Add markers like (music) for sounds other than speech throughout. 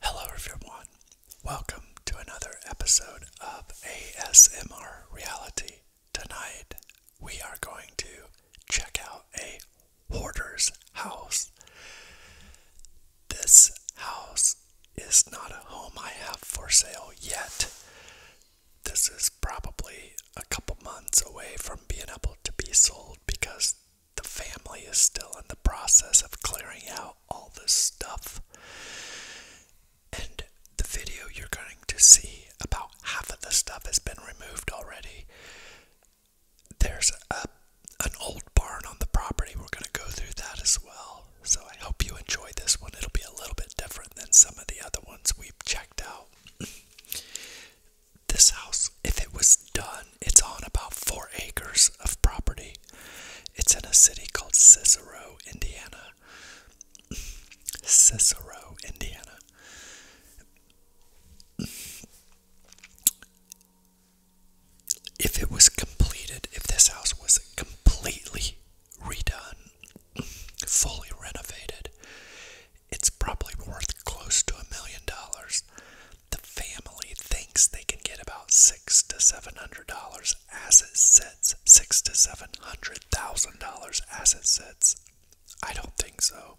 Hello, everyone. Welcome to another episode of ASMR Reality. Tonight, we are going to check out a hoarder's house. This house is not a home I have for sale yet this is probably a couple months away from being able to be sold because the family is still in the process of clearing out all this stuff. And the video you're going to see, about half of the stuff has been removed already. There's a, an old barn on the property. We're going to go through that as well. So I hope you enjoy this one. It'll be a little bit different than some of the other ones we've checked out. (clears throat) this house, if it was done, it's on about four acres of property. It's in a city called Cicero, Indiana. (clears throat) Cicero, Indiana. If it was completed, if this house was completely redone, fully renovated. It's probably worth close to a million dollars. The family thinks they can get about six to seven hundred dollars as it sits. Six to seven hundred thousand dollars as it sits. I don't think so.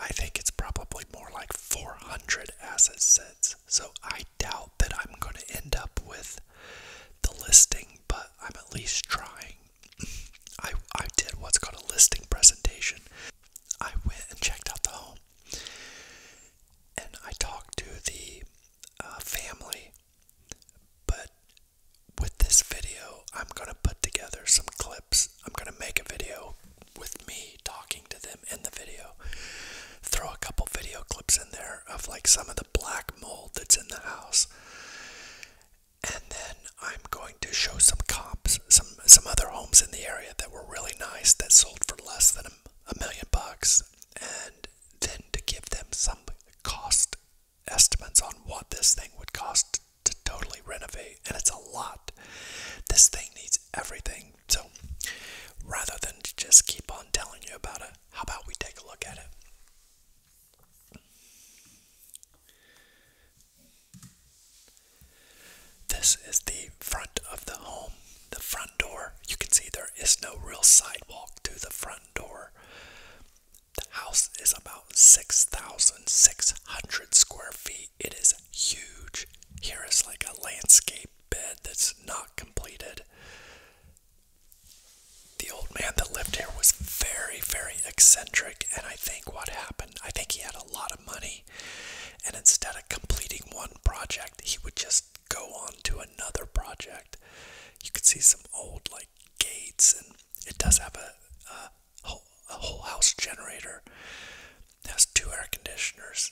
I think it's probably more like four hundred as it sits. So I doubt that I'm going to end up with the listing, but. I'm at least trying. I, I did what's called a listing presentation. I went and checked out the home. And I talked to the uh, family. But with this video, I'm going to put together some clips. I'm going to make a video with me talking to them in the video. Throw a couple video clips in there of like some of the black mold that's in the house. And then I'm going to show some cops, some some other homes in the area that were really nice that sold for less than a million bucks, and then to give them some cost estimates on what this thing would cost to totally renovate. And it's a lot. This thing needs everything. So rather than just keep on telling you about it, how about we take a look at it? This is the front of the home, the front door. You can see there is no real sidewalk to the front door. The house is about 6,600 square feet. It is huge. Here is like a landscape bed that's not completed the old man that lived here was very, very eccentric, and I think what happened, I think he had a lot of money, and instead of completing one project, he would just go on to another project. You could see some old, like, gates, and it does have a, a, whole, house generator, has two air conditioners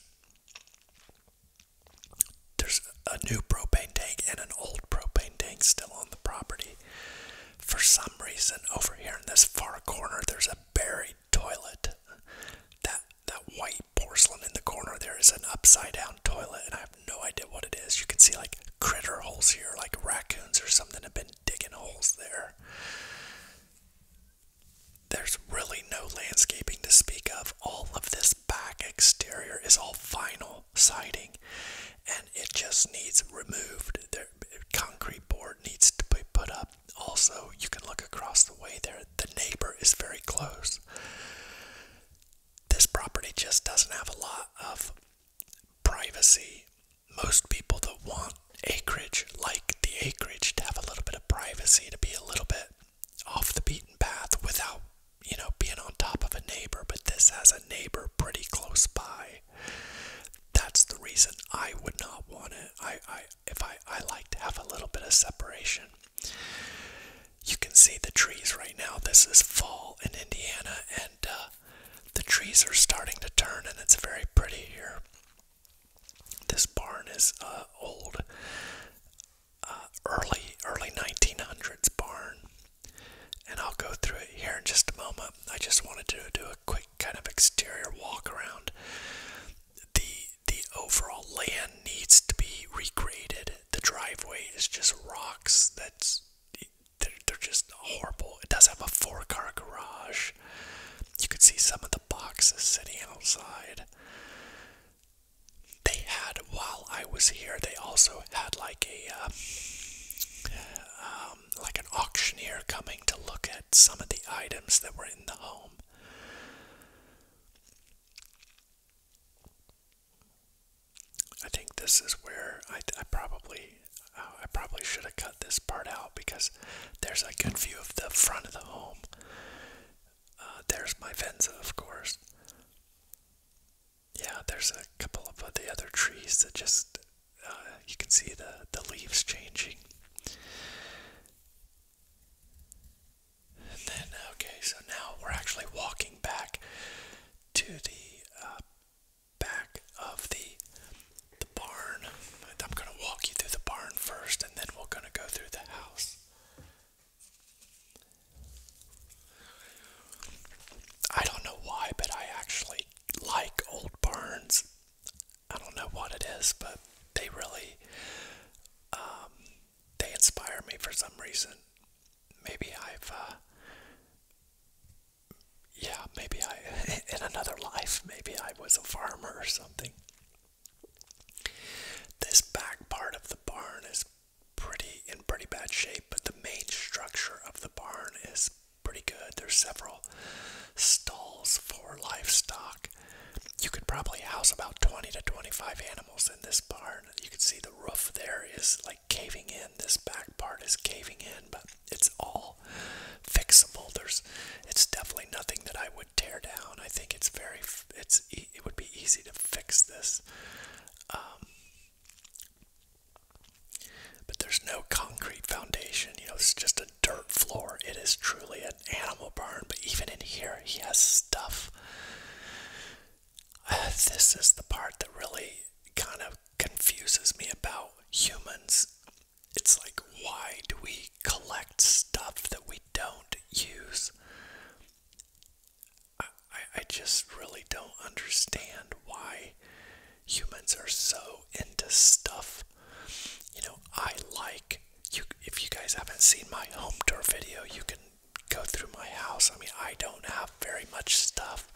there's a new propane tank and an old propane tank still on the property. For some reason, over here in this far corner, there's a buried toilet. That that white porcelain in the corner there is an upside down toilet, and I have no idea what it is. You can see like critter holes here, like raccoons or something have been digging holes there. There's really no landscaping to speak of. All of this back exterior is all vinyl siding and it just needs removed. The concrete board needs to be put up. Also, you can look across the way there. The neighbor is very close. This property just doesn't have a lot of privacy. Most people that want acreage like the acreage to have a little bit of privacy, to be a little bit off the beaten path without you know, being on top of a neighbor, but this has a neighbor pretty close by. That's the reason I would not want it. I, I, if I, I like to have a little bit of separation. You can see the trees right now. This is fall in Indiana, and uh, the trees are starting to turn, and it's very pretty here. This barn is uh, old, uh, early early 1900s barn and I'll go through it here in just a moment. I just wanted to do a quick kind of exterior walk around. The the overall land needs to be recreated. The driveway is just rocks that's they're, just horrible. It does have a four-car garage. You can see some of the boxes sitting outside. They had while I was here. They also had like a, uh, um, like an auctioneer coming to look at some of the items that were in the home. I think this is where I, probably uh, I probably should have cut this part out because there's a good view of the front of the home. Uh, there's my Venza, of course yeah, there's a couple of the other trees that just uh, you can see the the leaves changing. then okay, so now we're actually walking back to the uh, back of the the barn. I'm gonna walk you through the barn first, and then we're gonna go through the house. I don't know why, but I actually like old barns. I don't know what it is, but they really um, they inspire me for some reason. Maybe I've uh, yeah, maybe I (laughs) in another life, maybe I was a farmer or something. This back part of the barn is pretty in pretty bad shape, but the main structure of the barn is pretty good. There's several stalls for livestock. You could probably house about 20 to 25 animals in this barn. You can see the roof there is like caving in. This back part is caving in, but it's all fixable. There's it's definitely nothing that I would tear down. I think it's very it's it would be easy to fix this. Um, but there's no concrete foundation, you know, it's just a dirt floor. It is truly an animal barn, but even in here, he has stuff. (sighs) this is the part that really kind of confuses me about humans. It's like, why do we collect stuff that we don't use? I, I, just really don't understand why humans are so into stuff. You know, I like you. If you guys haven't seen my home tour video, you can go through my house. I mean, I don't have very much stuff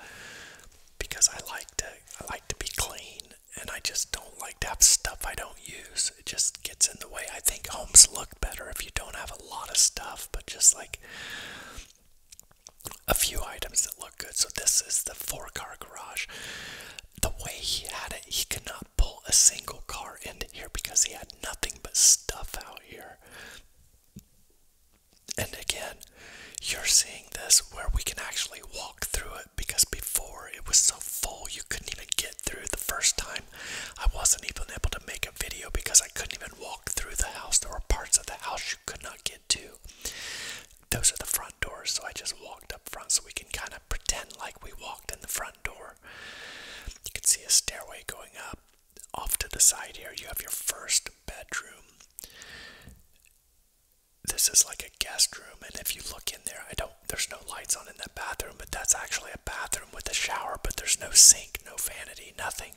because I like to. I like to be clean, and I just don't like to have stuff I don't use. It just gets in the way. I think homes look better if you don't have a lot of stuff, but just like a few items that look good. So this is the four-car garage. The way he had it, he could not pull a single car into here because he had nothing but stuff out here. And again, you're seeing this where we can actually walk through it because before it was so full you couldn't even get through the first time. I wasn't even able to make a video because I couldn't even walk through the house. There were parts of the house you could not get to. Those are the front doors, so I just walked up front so we can kind of pretend like we walked in the front door. You can see a stairway going up. Off to the side here, you have your first bedroom. This is like a guest room, and if you look in there, I don't. There's no lights on in that bathroom, but that's actually a bathroom with a shower. But there's no sink, no vanity, nothing.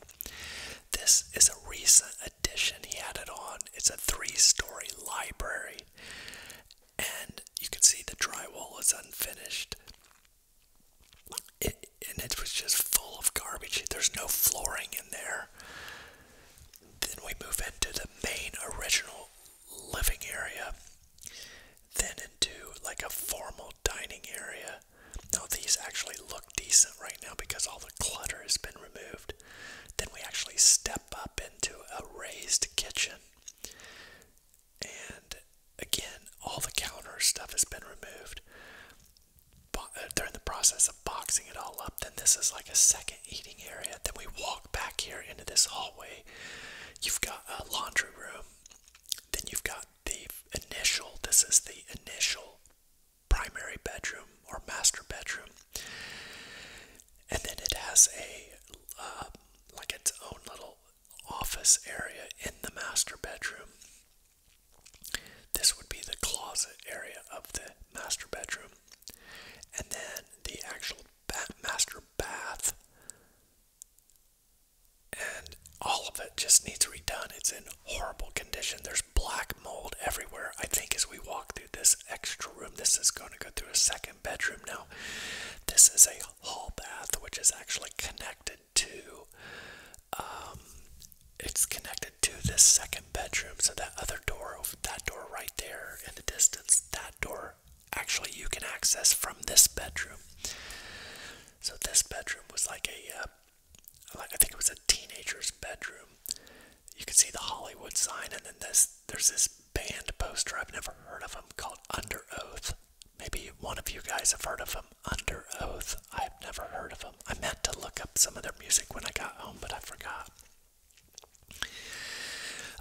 This is a recent addition he added on. It's a three story library, and you can see the drywall is unfinished. It, and it was just full of garbage. There's no flooring in there. Then we move into the main original living area, then into like a formal dining area, now these actually look decent right now because all the clutter has been removed. Then we actually step up into a raised kitchen. And again, all the counter stuff has been removed. Uh, during the process of boxing it all up. Then this is like a second eating area. Then we walk back here into this hallway. You've got a laundry room. Then you've got the initial, this is the initial primary bedroom or master bedroom. And then it has a uh, like its own little office area in the master bedroom. This would be the closet area of the master bedroom. And then the actual master bath and all of it just needs redone. It's in horrible condition. There's black mold everywhere. I think as we walk through this extra room, this is going to go through a second bedroom now. This is a hall bath, which is actually connected to. Um, it's connected to this second bedroom. So that other door, that door right there in the distance, that door actually you can access from this bedroom. So this bedroom was like a uh, like I think it was a teenager's bedroom. You could see the Hollywood sign, and then this there's this band poster I've never heard of them called Under Oath. Maybe one of you guys have heard of them. Under Oath. I've never heard of them. I meant to look up some of their music when I got home, but I forgot.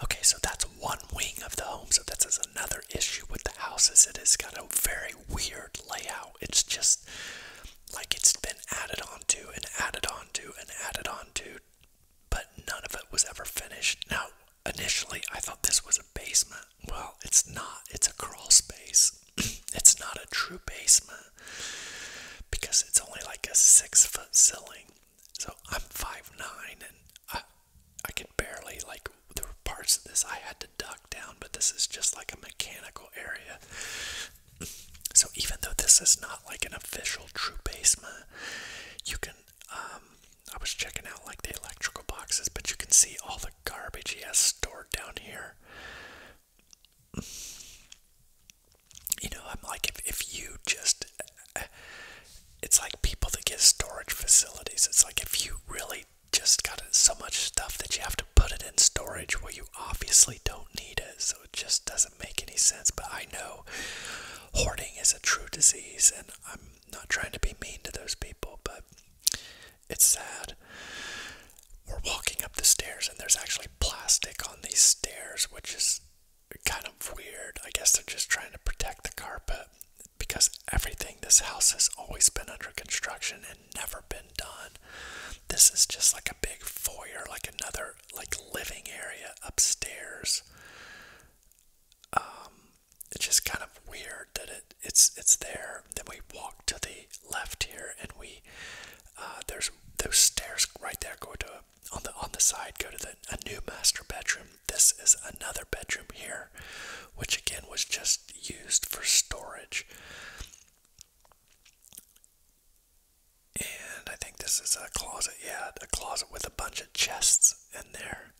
Okay, so that's one wing of the home. So that's another issue with the house is it has got a very weird layout. It's just like it's been added onto and added onto and added onto, but none of it was ever finished. Now, initially, I thought this was a basement. Well, it's not, it's a crawl space. (clears throat) it's not a true basement because it's only like a six foot ceiling. So I'm five nine and I, I could barely, like, there were parts of this I had to duck down, but this is just like a mechanical area. So even though this is not like an official true basement, you can um, I was checking out like the electrical boxes, but you can see all the garbage he has stored down here. You know, I'm like if if you just it's like people that get storage facilities. It's like if you really just got so much stuff that you have to put it in storage where you obviously don't need it. So it just doesn't make any sense. But I know hoarding is a true disease, and I'm not trying to be mean to those people, but it's sad. We're walking up the stairs, and there's actually plastic on these stairs, which is kind of weird. I guess they're just trying to protect the carpet because everything, this house has always been under construction and never been done. This is just like a big foyer, like another like living area upstairs. Um, it's just kind of weird that it it's it's there. Then we walk to the left here, and we uh, there's those stairs right there go to a, on the on the side go to the a new master bedroom. This is another bedroom here, which again was just used for storage. And I think this is a closet, yeah, a closet with a bunch of chests in there.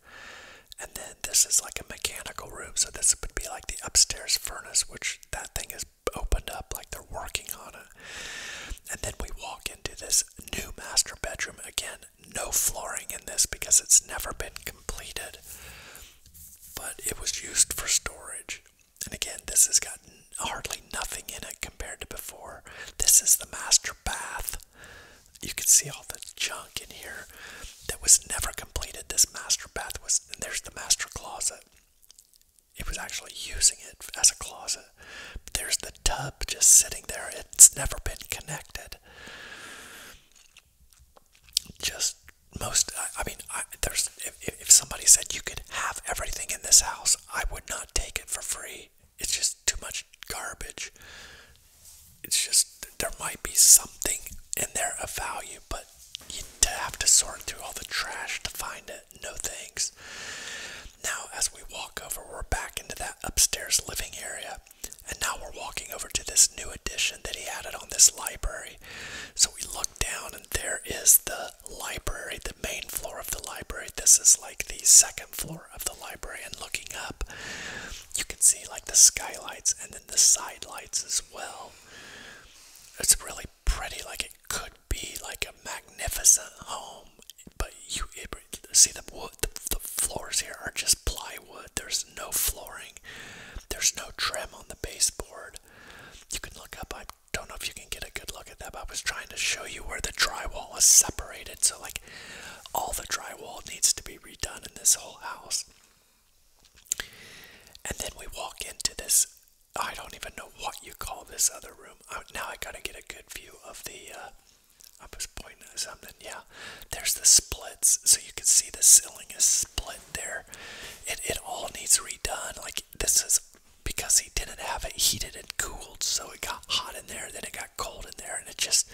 And then this is like a mechanical room, so this would be like the upstairs furnace, which that thing is opened up like they're working on it. And then we walk into this new master bedroom. Again, no flooring in this because it's never been completed, but it was used for storage. And again, this has got hardly nothing in it compared to before. This is the master bath. You can see all the junk in here that was never completed. This master bath was, and there's the master closet. It was actually using it as a closet. there's the tub just sitting there. It's never been connected just most i, mean I, there's if, if somebody said you could have everything in this house i would not take it for free it's just too much garbage it's just there might be something in there of value but you would have to sort through all the trash to find it no thanks now as we walk over we're back into that upstairs living area and now we're walking over to this new addition that he added on this library so we look down, and there is the library, the main floor of the library. This is like the second floor of the library, and looking up, you can see like the skylights and then the side lights as well. It's really pretty, like it could be like a magnificent home, but you see the wood, the floors here are just plywood. There's no flooring, there's no trim on the baseboard. You can look up, I don't know if you can get a good look at that, but I was trying to show you where the drywall is separated. So, like, all the drywall needs to be redone in this whole house. And then we walk into this, I don't even know what you call this other room. Now I gotta get a good view of the, uh, I was pointing at something, yeah. There's the splits, so you can see the ceiling is split there. It it all needs redone. Like this is because he didn't have it heated and cooled, so it got hot in there, then it got cold in there, and it just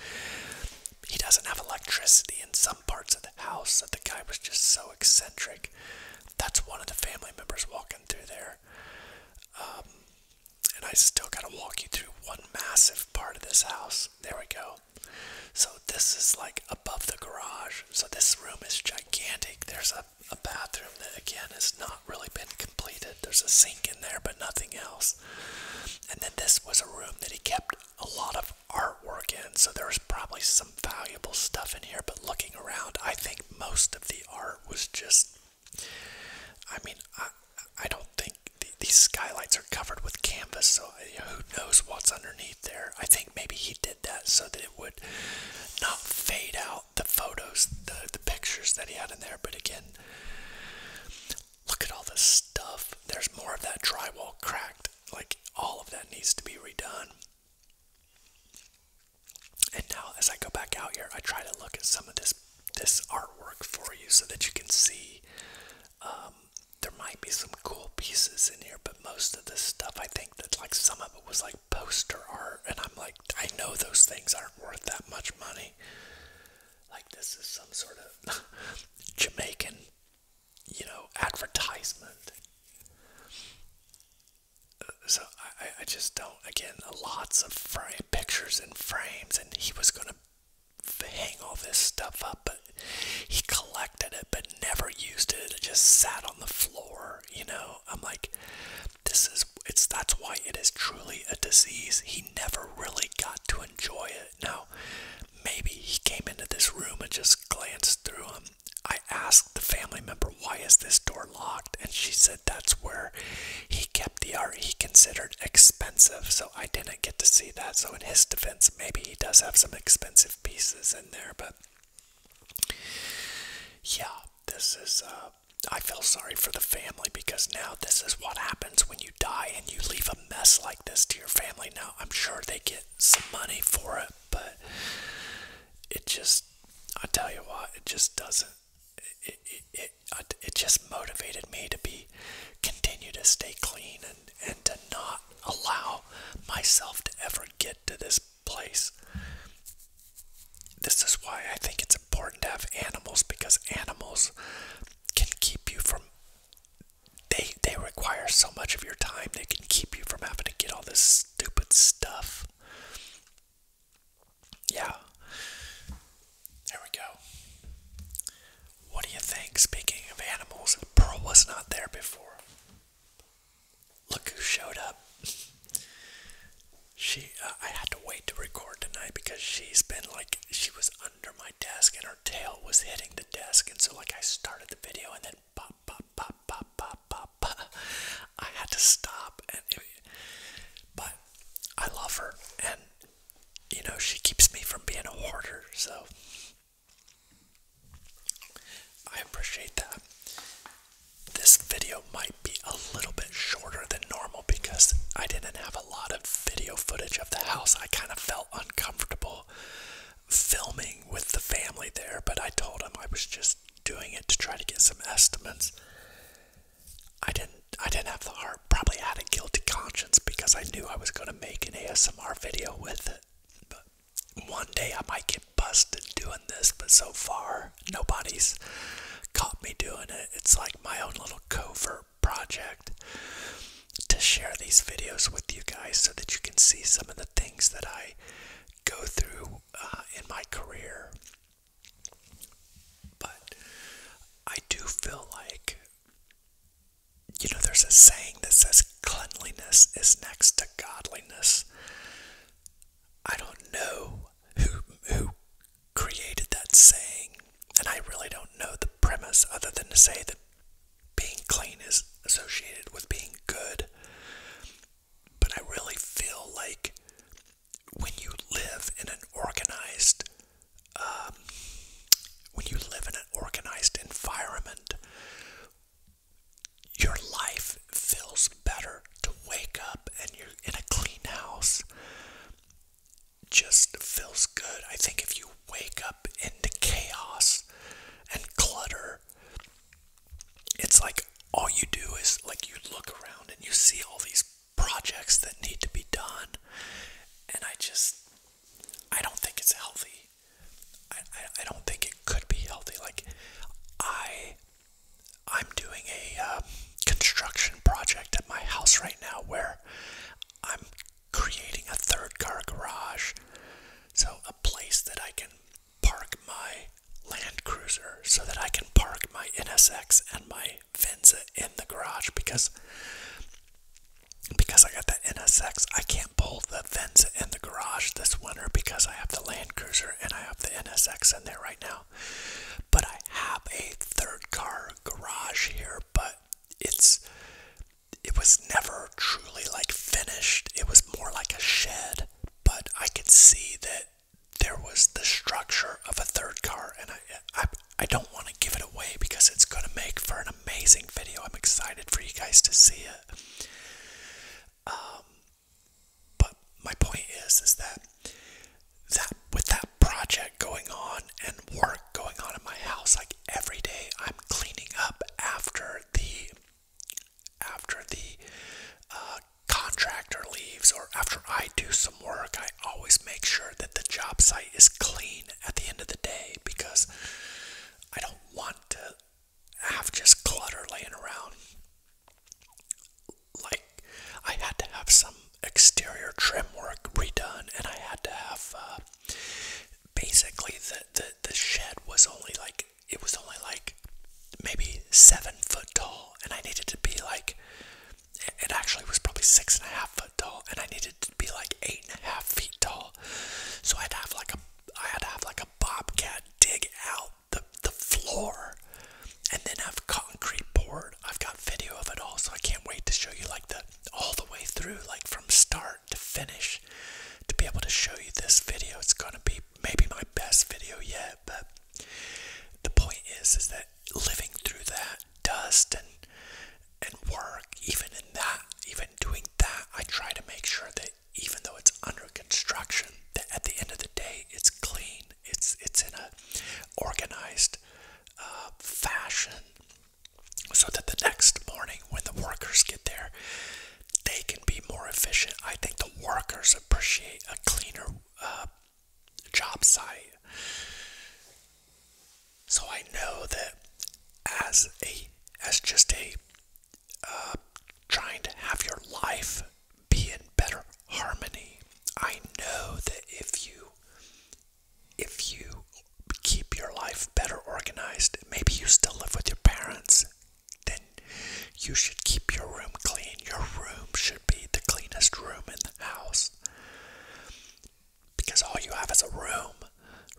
he doesn't have electricity in some parts of the house that the guy was just so eccentric. That's one of the family members walking through there. Um, and I still gotta walk you through one massive part of this house. There we go. So this is like a above the garage. So this room is gigantic. There's a, bathroom that, again, has not really been completed. There's a sink in there, but nothing else. And then this was a room that he kept a lot of artwork in. So there's probably some valuable stuff in here. But looking around, I think most of the art was just. I mean, I, don't think these skylights are covered with canvas, so who knows what's underneath there. I think maybe he did that so that it would not fade out the photos, the, the pictures that he had in there. But again, look at all this stuff. There's more of that drywall cracked. Like all of that needs to be redone. And now as I go back out here, I try to look at some of this this artwork for you so that you can see um, there might be some cool pieces in here, but but most of this stuff, I think that like some of it was like poster art, and I'm like, I know those things aren't worth that much money. Like this is some sort of (laughs) Jamaican, you know, advertisement. So I, I just don't. Again, lots of frame, pictures and frames, and he was gonna hang all this stuff up, but he collected collected it but never used it. It just sat on the floor, you know. I'm like, this is it's that's why it is truly a disease. He never really got to enjoy it. Now, maybe he came into this room and just glanced through them. I asked the family member why is this door locked and she said that's where he kept the art he considered expensive so I didn't get to see that so in his defense maybe he does have some expensive pieces in there but yeah, this is. Uh, I feel sorry for the family because now this is what happens when you die and you leave a mess like this to your family. Now, I'm sure they get some money for it, but it just, I tell you what, it just doesn't. It, it, it, it, it just motivated me to be continue to stay clean and, and to not allow myself to ever get to this place. This is why I think it's important to have animals because animals can keep you from they they require so much of your time. They can keep you from having to get all this stupid stuff. Yeah. There we go. What do you think? Speaking of animals, Pearl was not there before. Look who showed up. She, uh, I had to wait to record tonight because she's been like, she was under my desk and her tail was hitting the desk. And so, like, I started the video and then pop, pop, pop, pop, pop, pop, (laughs) I had to stop. And but I love her. And, you know, she keeps me from being a hoarder. So I appreciate that. This video might be a little bit shorter than normal because I didn't have a lot of video footage of the house. I kind of felt uncomfortable filming with the family there, but I told them I was just doing it to try to get some estimates. I didn't I didn't have the heart. Probably had a guilty conscience because I knew I was going to make an ASMR video with it. But one day I might get busted doing this, but so far nobody's caught me doing it. It's like my own little covert project to share these videos with you guys so that you can see some of the things that I go through uh, in my career. But I do feel like, you know, there's a saying that says cleanliness is next to godliness. I don't know who who created that saying, and I really don't know the premise other than to say that being clean is associated with being good. But I really feel like when you live in an organized um, when you live in an organized environment your life feels better to wake up and you're in a clean house. Just feels good. I think if you wake up into chaos and clutter, it's like all you do is like you look around and you see all these projects that need to be done. And I just, I don't think it's healthy. I, I, don't think it could be healthy. Like I I'm doing a um, construction project at my house right now where I'm creating a third car garage. So a place that I can park my Land Cruiser so that I can park my NSX and my Venza in the garage because because I got that NSX I can't can't pull the Venza in the garage this winter because I have the Land Cruiser and I have the NSX in there right now. But I have a third car garage here, but it's it was never truly like finished. It was more like a shed, but I could see that there was the structure of a third car and I I, I don't want to give it away because it's going to make for an amazing video. I'm excited for you guys to see it. Um, but my point is, is that that with that project going on and work going on in my house, like every day, I'm cleaning up after the after the uh, contractor leaves or after I do some work. I always make sure that the job site is clean at the end of the day because I don't want to have just clutter laying around. Like, I had to have some exterior trim work redone, and I had to have uh, basically the, the, the shed was only like, it was only like maybe seven foot tall, and I needed to be like, it actually was probably six and a half foot tall, and I needed to be like eight and a half feet tall. So I'd have like a, I had to have like a bobcat dig out the, the floor and then have concrete poured. I've got video of it all, so I can't wait to show you like the all the way through, like from start to finish. To be able to show you this video, it's gonna be maybe my best video yet, but the point is is that living through that dust and and work, even in that, even doing that, I try to make sure that even though it's under construction, at the end of the day, it's clean. It's it's in a organized uh, fashion, so that the next morning when the workers get there, they can be more efficient. I think the workers appreciate a cleaner uh, job site. So I know that as a as just a uh, trying to have your life be in better harmony. I know that if you if you keep your life better organized, maybe you still live with your parents, then you should keep your room clean. Your room should be the cleanest room in the house. Because all you have is a room,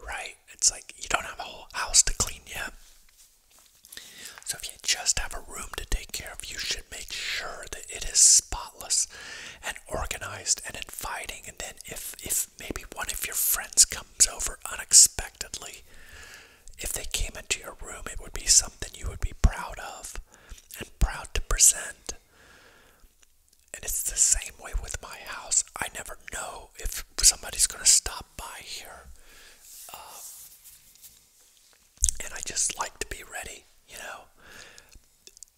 right? It's like you don't have a whole house to clean yet. So if you just have a room to take care of, you should make sure that it is spotless and organized and inviting. And then if if maybe one of your friends comes over unexpectedly, if they came into your room, it would be something you would be proud of and proud to present. And it's the same way with my house. I never know if somebody's going to stop by here. Um, and I just like to be ready, you know.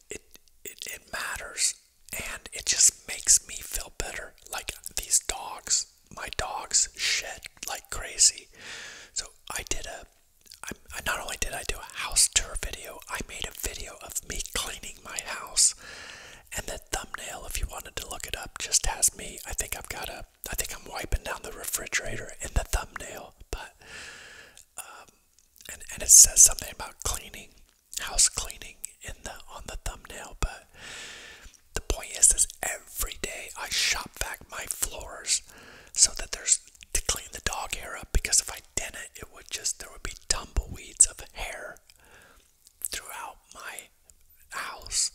It, it matters, and it just makes me feel better. Like these dogs, my dogs shed like crazy. So I did a. I, I not only did I do a house tour video, I made a video of me cleaning my house, and the thumbnail, if you wanted to look it up, just ask me. I think I've got a. I think I'm wiping down the refrigerator in the thumbnail, but um, and and it says something about cleaning, house cleaning in the on the thumbnail. But the point is, is every day I shop back my floors so that there's to clean the dog hair up because if I didn't, it would just there would be tumbleweeds of hair throughout my house,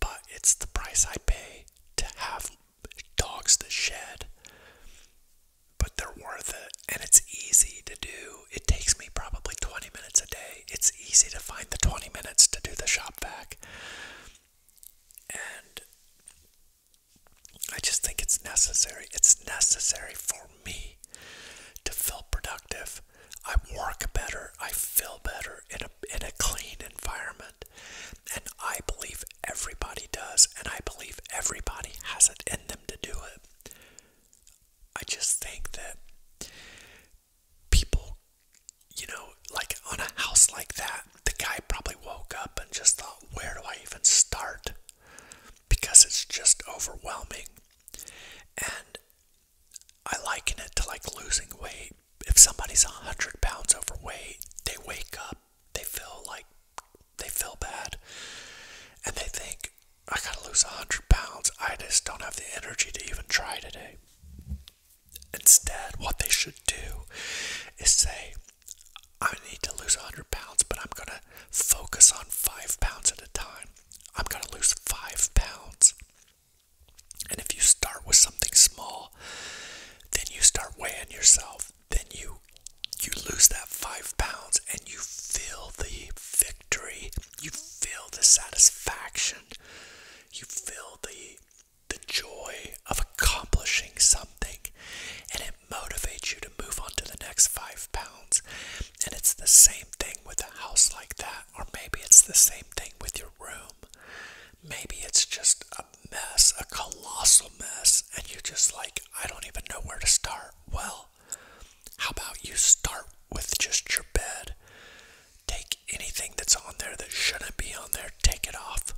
but it's the price I pay to have dogs that shed. But they're worth it, and it's easy to do. It takes me probably 20 minutes a day. It's easy to find the 20 minutes to do the shop vac. And I just think it's necessary. It's necessary for me to feel productive I work better. I feel better in a, in a clean environment. And I believe everybody does. And I believe everybody has it in them to do it. I just think that people, you know, like on a house like that, the guy probably woke up and just thought, where do I even start? Because it's just overwhelming. And I liken it to like losing weight. If somebody's 100 pounds overweight, they wake up, they feel like they feel bad, and they think, I gotta lose 100 pounds. I just don't have the energy to even try today. Instead, what they should do is say, I need to lose 100 pounds, but I'm gonna focus on five pounds at a time. I'm gonna lose five pounds. And if you start with something small, then you start weighing yourself, then you you lose that five pounds and you feel the victory, you feel the satisfaction, you feel the the joy of accomplishing something, and it motivates you to move on to the next five pounds. And it's the same thing with a house like that, or maybe it's the same thing with your room. Maybe it's just a mess, a colossal mess, and you're just like, I don't even know where to start. Well, how about you start with just your bed? Take anything that's on there that shouldn't be on there, take it off.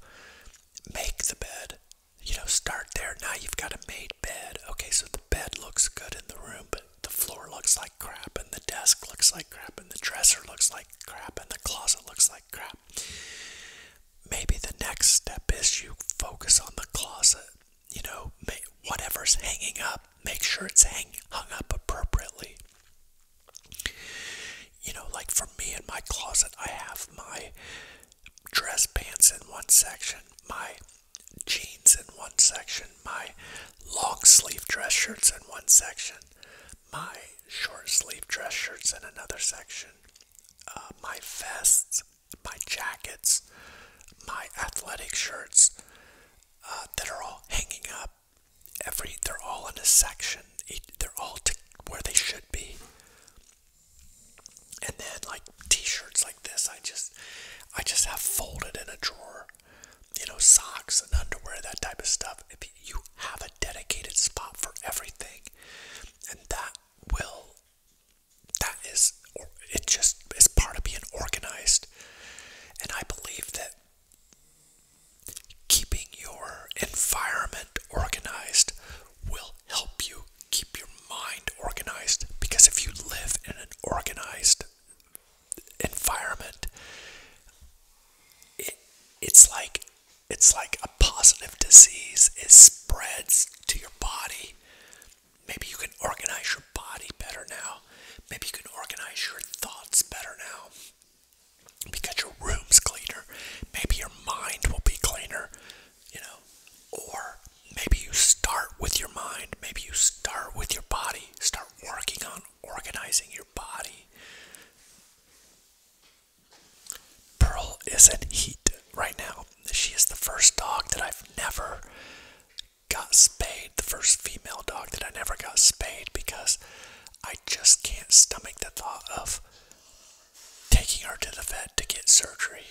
Make the bed. You know, start there. Now you've got a made bed. Okay, so the bed looks good in the room, the floor looks like crap, and the desk looks like crap, and the dresser looks like crap, and the closet looks like crap. Maybe the next step is you focus on the closet. You know, whatever's hanging up, make sure it's hung up appropriately. You know, like for me in my closet, I have my dress pants in one section, my jeans in one section my long sleeve dress shirts in one section, my short sleeve dress shirts in another section, uh, my vests, my jackets, my athletic shirts uh, that are all hanging up. Every they're all in a section. They're all where they should be. And then like t-shirts like this, I just I just have folded in a drawer you know, socks and underwear, that type of stuff. If You have a dedicated spot for everything, and that will, that is, or it just is part of being organized. And I believe that keeping your environment organized will help you keep your mind organized because if you live in an organized environment, it, it's like it's like a positive disease. It spreads to your body. Maybe you can organize your body better now. Maybe you can organize your thoughts better now. Because your room's cleaner. Maybe your mind will be cleaner, you know. Or maybe you start with your mind. Maybe you start with your body. Start working on organizing your body. Pearl is in heat right now. She is the first dog that I've never got spayed, the first female dog that I never got spayed because I just can't stomach the thought of taking her to the vet to get surgery.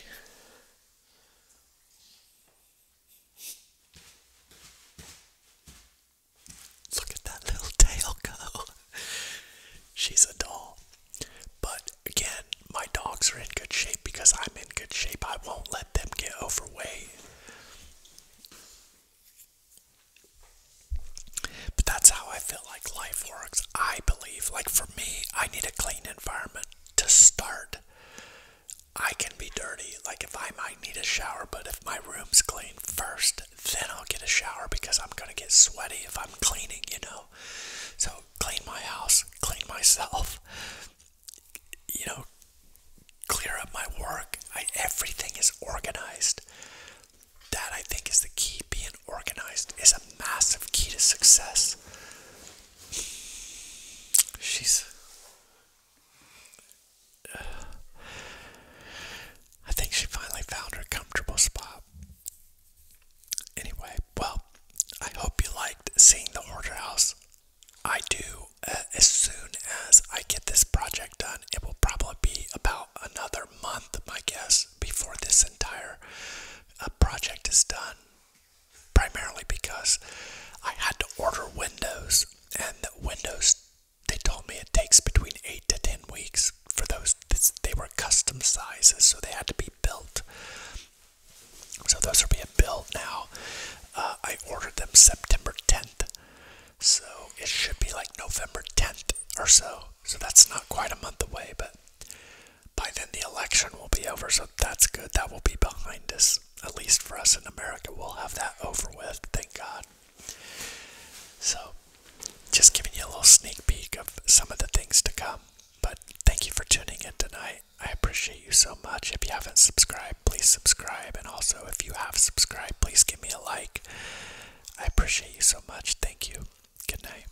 Look at that little tail go. (laughs) She's a doll. But again, my dogs are in good shape because I'm in good shape. I won't let them get overweight. But that's how I feel like life works. I believe, like for me, I need a clean environment to start. I can be dirty. Like if I might need a shower, but if my room's clean first, then I'll get a shower because I'm gonna get sweaty if I'm cleaning, you know. So clean my house, clean myself, you know, clear up my work. I, everything is organized. That I think is the key. Being organized is a massive key to success. She's I think she finally found her comfortable spot. Anyway, well, I hope you liked seeing the order house. I do. Uh, as soon as I get this project done, it will probably be about another month, I guess, before this entire uh, project is done. Primarily because I had to order windows, and the Windows they told me it takes between 8 to 10 weeks for those. They were custom sizes, so they had to be built. So those are being built now. Uh, I ordered them September 10th. So it should be like November 10th or so. So that's not quite a month away, but by then the election will be over. So that's good. That will be behind us at least for us in America, we'll have that over with, thank God. So, just giving you a little sneak peek of some of the things to come. But thank you for tuning in tonight. I appreciate you so much. If you haven't subscribed, please subscribe. And also, if you have subscribed, please give me a like. I appreciate you so much. Thank you. Good night.